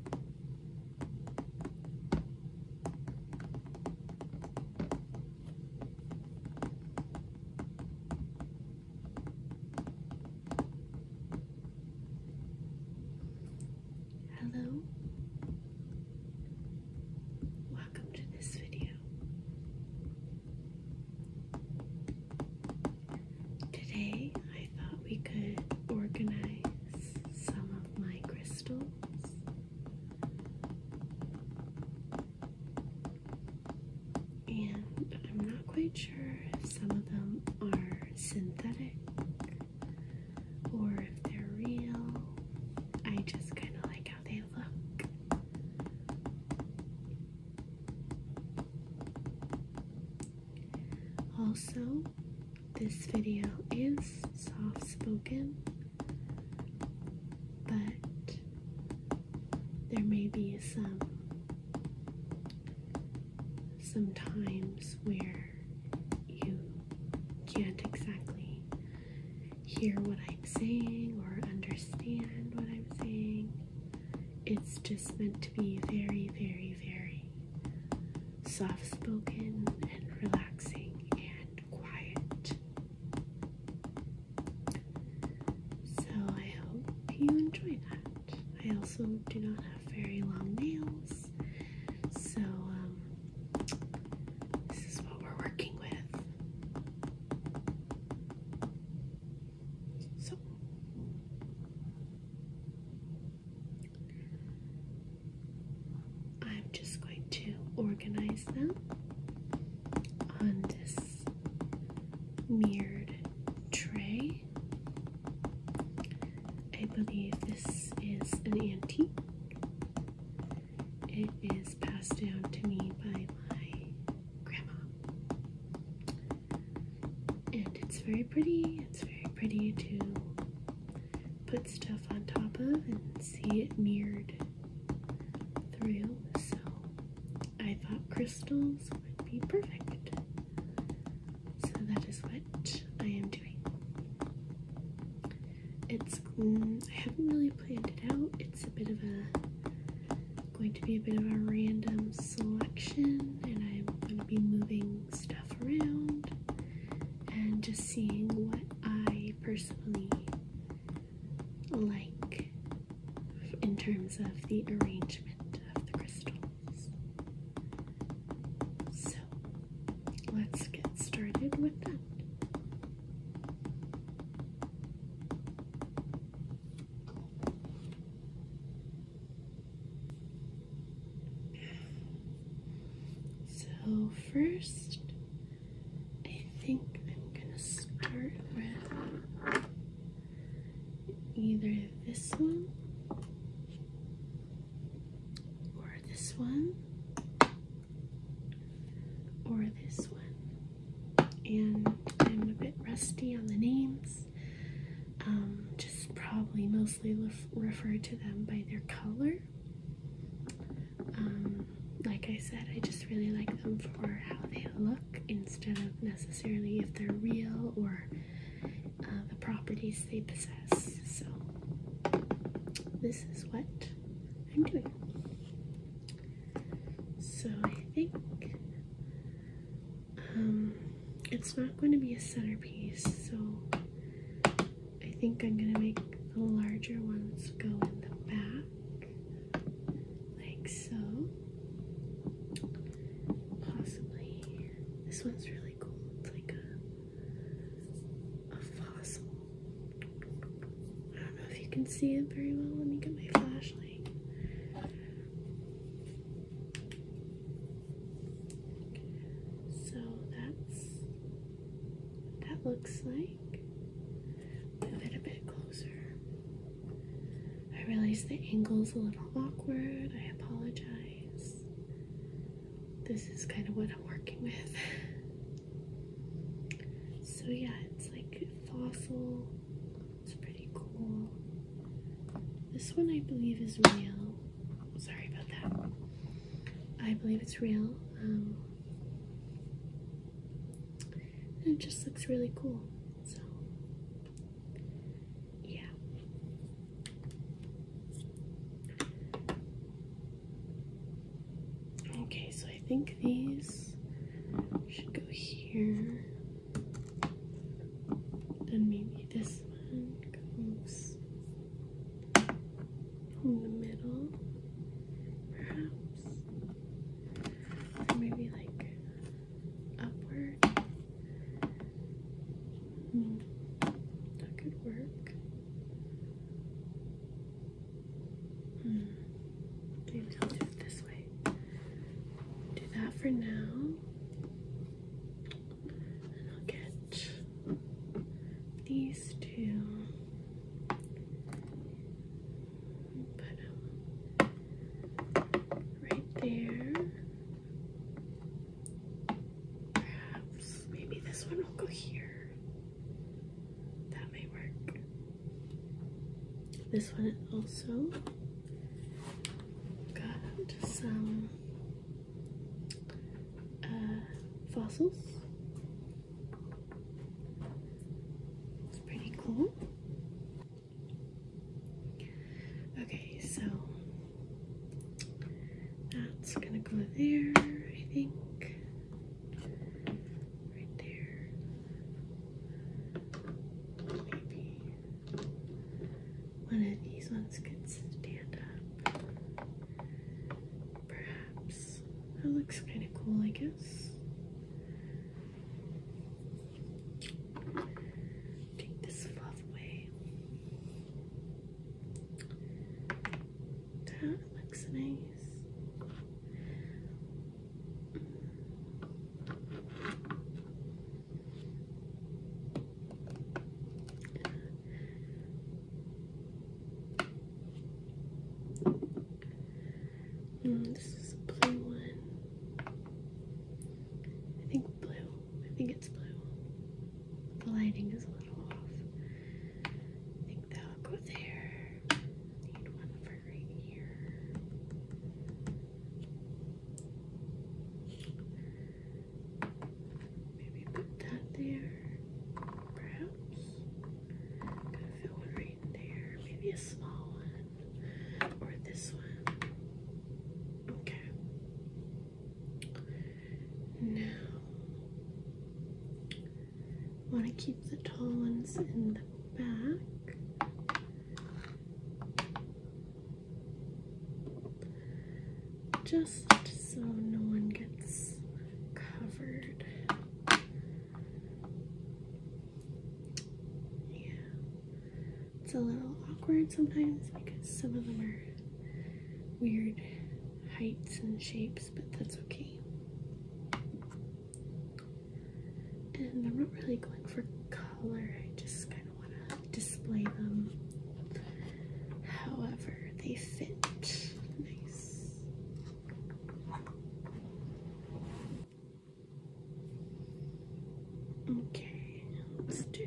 Hello, welcome to this video. Today I thought we could organize some of my crystals. And I'm not quite sure if some of them are synthetic or if they're real. I just kind of like how they look. Also, this video is soft spoken, but there may be some some times where you can't exactly hear what I'm saying or understand what I'm saying. It's just meant to be very, very, very soft spoken and relaxing and quiet. So I hope you enjoy that. I also do not have very long nails, so um, this is what we're working with. So. I'm just going to organize them on this mirrored tray. I believe this is an antique. It is passed down to me by my grandma and it's very pretty. It's very pretty to put stuff on top of and see it mirrored through. So I thought crystals would be perfect. So that is what I am doing. It's mm, I haven't really planned it out. It's a bit of a going to be a bit of a random selection, and I'm going to be moving stuff around and just seeing what I personally like in terms of the arrangement of the crystals. So let's get started with that. So, first, I think I'm gonna start with either this one or this one or this one. And I'm a bit rusty on the names, um, just probably mostly ref refer to them by their color. Um, like I said, I just really like them for how they look instead of necessarily if they're real or uh, the properties they possess. So, this is what I'm doing. So, I think um, it's not going to be a centerpiece, so I think I'm going to make the larger ones go in the back, like so. Possibly. This one's really cool. It's like a, a fossil. I don't know if you can see it very well. Let me get my flashlight. So that's that looks like. Move it a bit closer. I realize the angle's a little awkward. I apologize. This is kind of what I'm working with. So, yeah, it's like fossil. It's pretty cool. This one I believe is real. Sorry about that. I believe it's real. Um, it just looks really cool. So, yeah. Okay, so I think these should go here. Then maybe this one goes in the middle, perhaps. Or maybe like upward. Hmm. That could work. Hmm. do it this way. Do that for now. I'll get these two put them right there. Perhaps maybe this one will go here. That may work. This one also got some uh, fossils. It's pretty cool. Okay, so that's gonna go there, I think. Right there. Maybe. One of these ones can stand up. Perhaps. That looks kind of cool, I guess. Take this fluff away. That looks nice this is a blue one. I think blue. I think it's blue. The lighting is a little off. I think that'll go there. Need one for right here. Maybe put that there, perhaps. i one right there, maybe a small one, or this one. Okay. Now, I want to keep the tall ones in the back just so no one gets covered. Yeah, it's a little awkward sometimes because some of them are weird heights and shapes, but that's okay. And I'm not really going for color, I just kind display them however they fit. Nice. Okay, let's do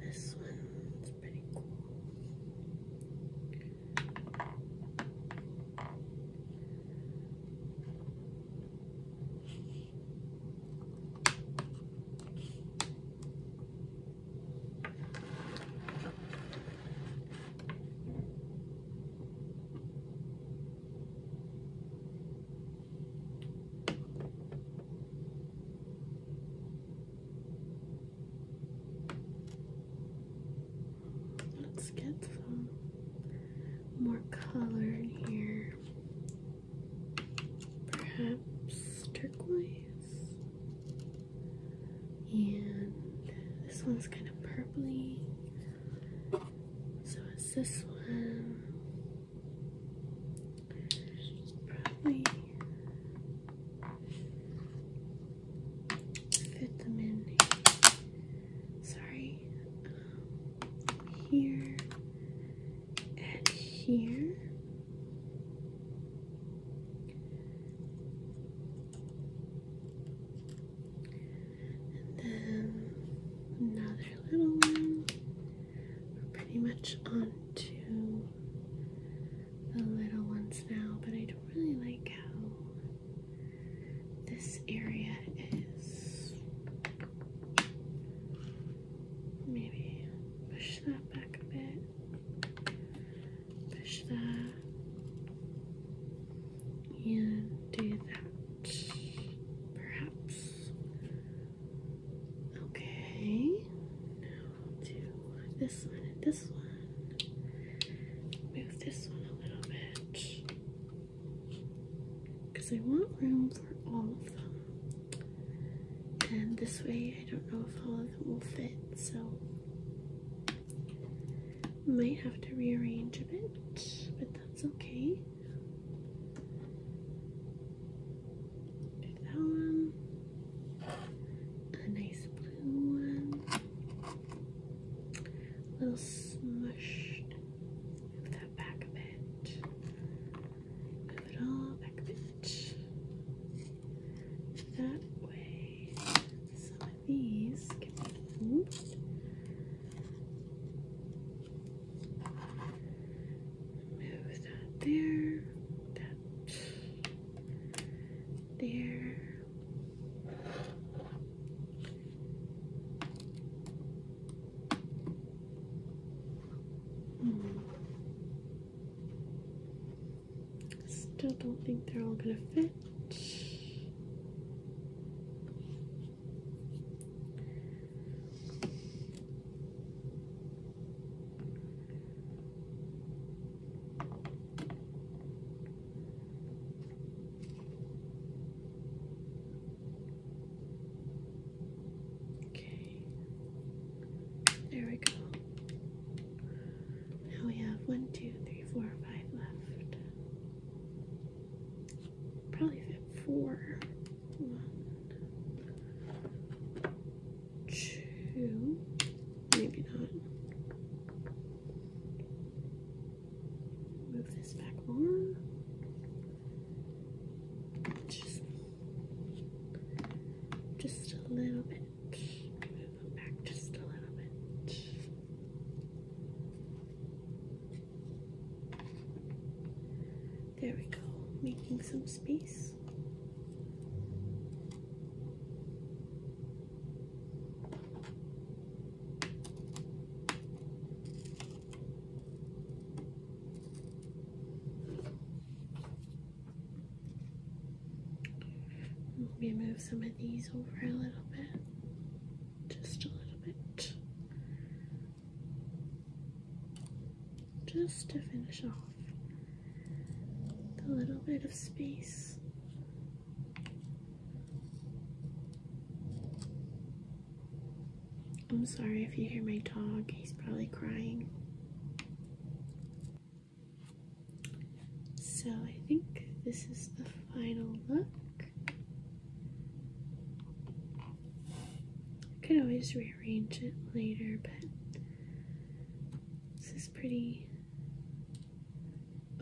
this one. It's pretty cool. Let's get some more color in here perhaps turquoise, and this one's kind of purply. So is this one probably fit them in? Sorry, um, here and here. And then another little one. pretty much on to the little ones now, but I don't really like how this area is. Maybe push that back a bit. Push that. And do that. Perhaps. Okay. Now do this one and this one. Move this one a little bit. Because I want room for all of them and this way I don't know if all of them will fit so might have to rearrange a bit but that's okay that one a nice blue one little smushed move that back a bit Move it all back a bit. That way, some of these can be Move that there, that there. Mm. Still don't think they're all gonna fit. Okay. There we go. Now we have one, two, three, four, five left. Probably fit four. One, two, maybe not. Move this back more. Just, just a little bit. Move them back just a little bit. There we go, making some space. Let me move some of these over a little bit, just a little bit, just to finish off the little bit of space. I'm sorry if you hear my dog, he's probably crying. So I think this is the final look. I could always rearrange it later, but this is pretty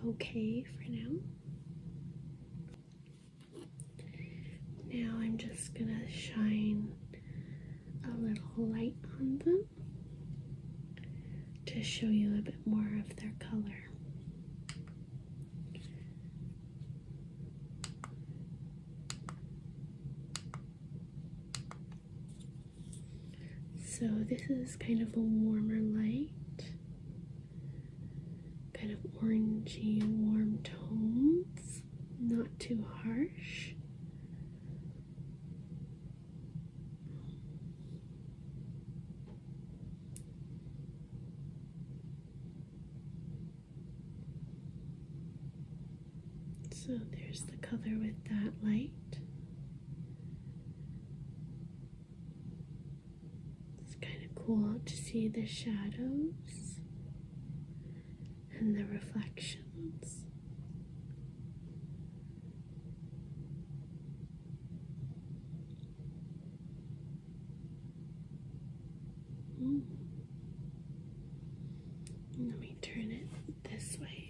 okay for now. Now I'm just going to shine a little light on them to show you a bit more of their color. So this is kind of a warmer light, kind of orangey warm tones not too harsh. So there's the color with that light. It's kind of cool to see the shadows and the reflections. Mm. Let me turn it this way.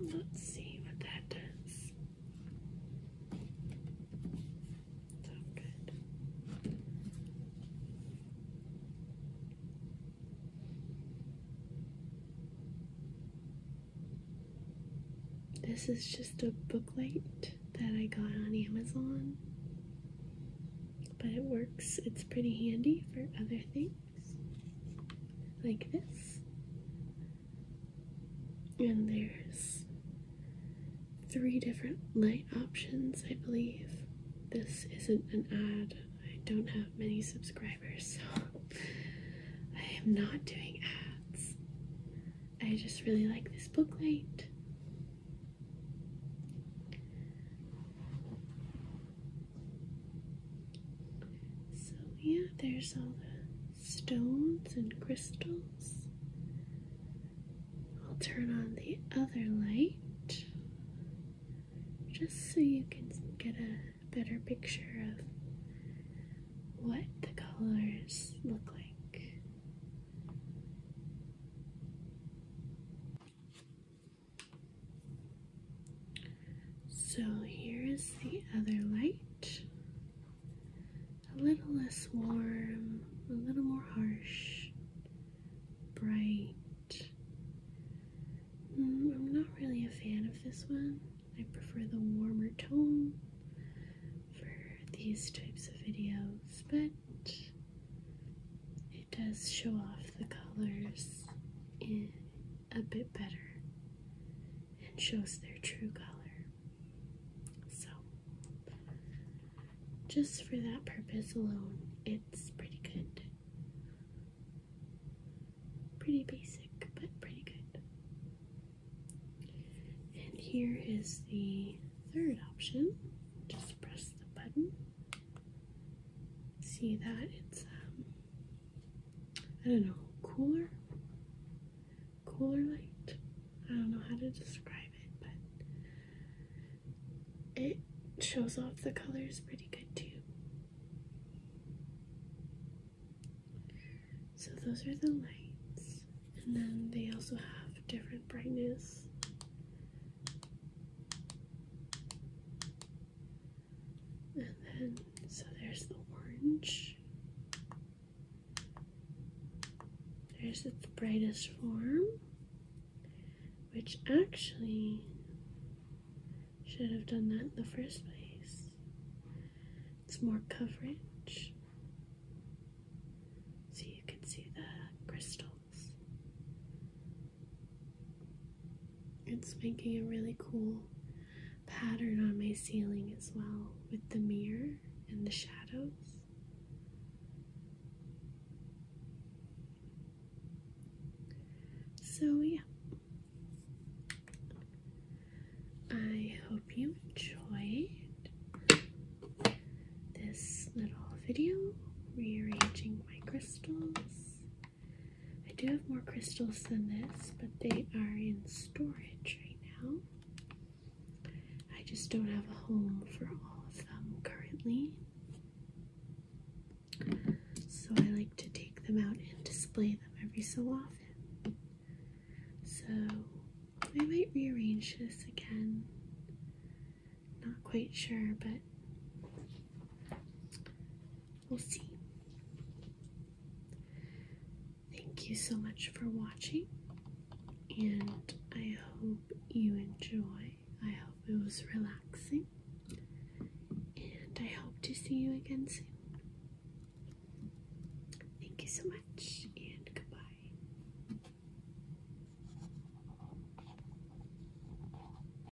Let's see what that does. This is just a booklight that I got on Amazon, but it works. It's pretty handy for other things like this. And there's three different light options, I believe. This isn't an ad. I don't have many subscribers, so I am not doing ads. I just really like this book light. So, yeah, there's all the stones and crystals. I'll turn on the other light just so you can get a better picture of what the colors look like. So here is the other light. A little less warm, a little more harsh, bright. Mm, I'm not really a fan of this one. I prefer the warmer tone for these types of videos, but it does show off the colors in a bit better and shows their true color. So, just for that purpose alone, it's pretty good. Pretty basic, but pretty good. And here is the third option. Just press the button. See that it's um, I don't know, cooler? Cooler light? I don't know how to describe it, but it shows off the colors pretty good too. So those are the lights, and then they also have different brightness. And then, so there's the orange. There's the brightest form, which actually should have done that in the first place. It's more coverage. So you can see the crystals it's making a really cool pattern on my ceiling as well with the mirror and the shadows. So, yeah. I hope you enjoyed this little video rearranging my crystals I do have more crystals than this, but they are in storage right now. I just don't have a home for all of them currently. So I like to take them out and display them every so often. So I might rearrange this again. Not quite sure, but We'll see. Thank you so much for watching, and I hope you enjoy. I hope it was relaxing, and I hope to see you again soon. Thank you so much, and goodbye.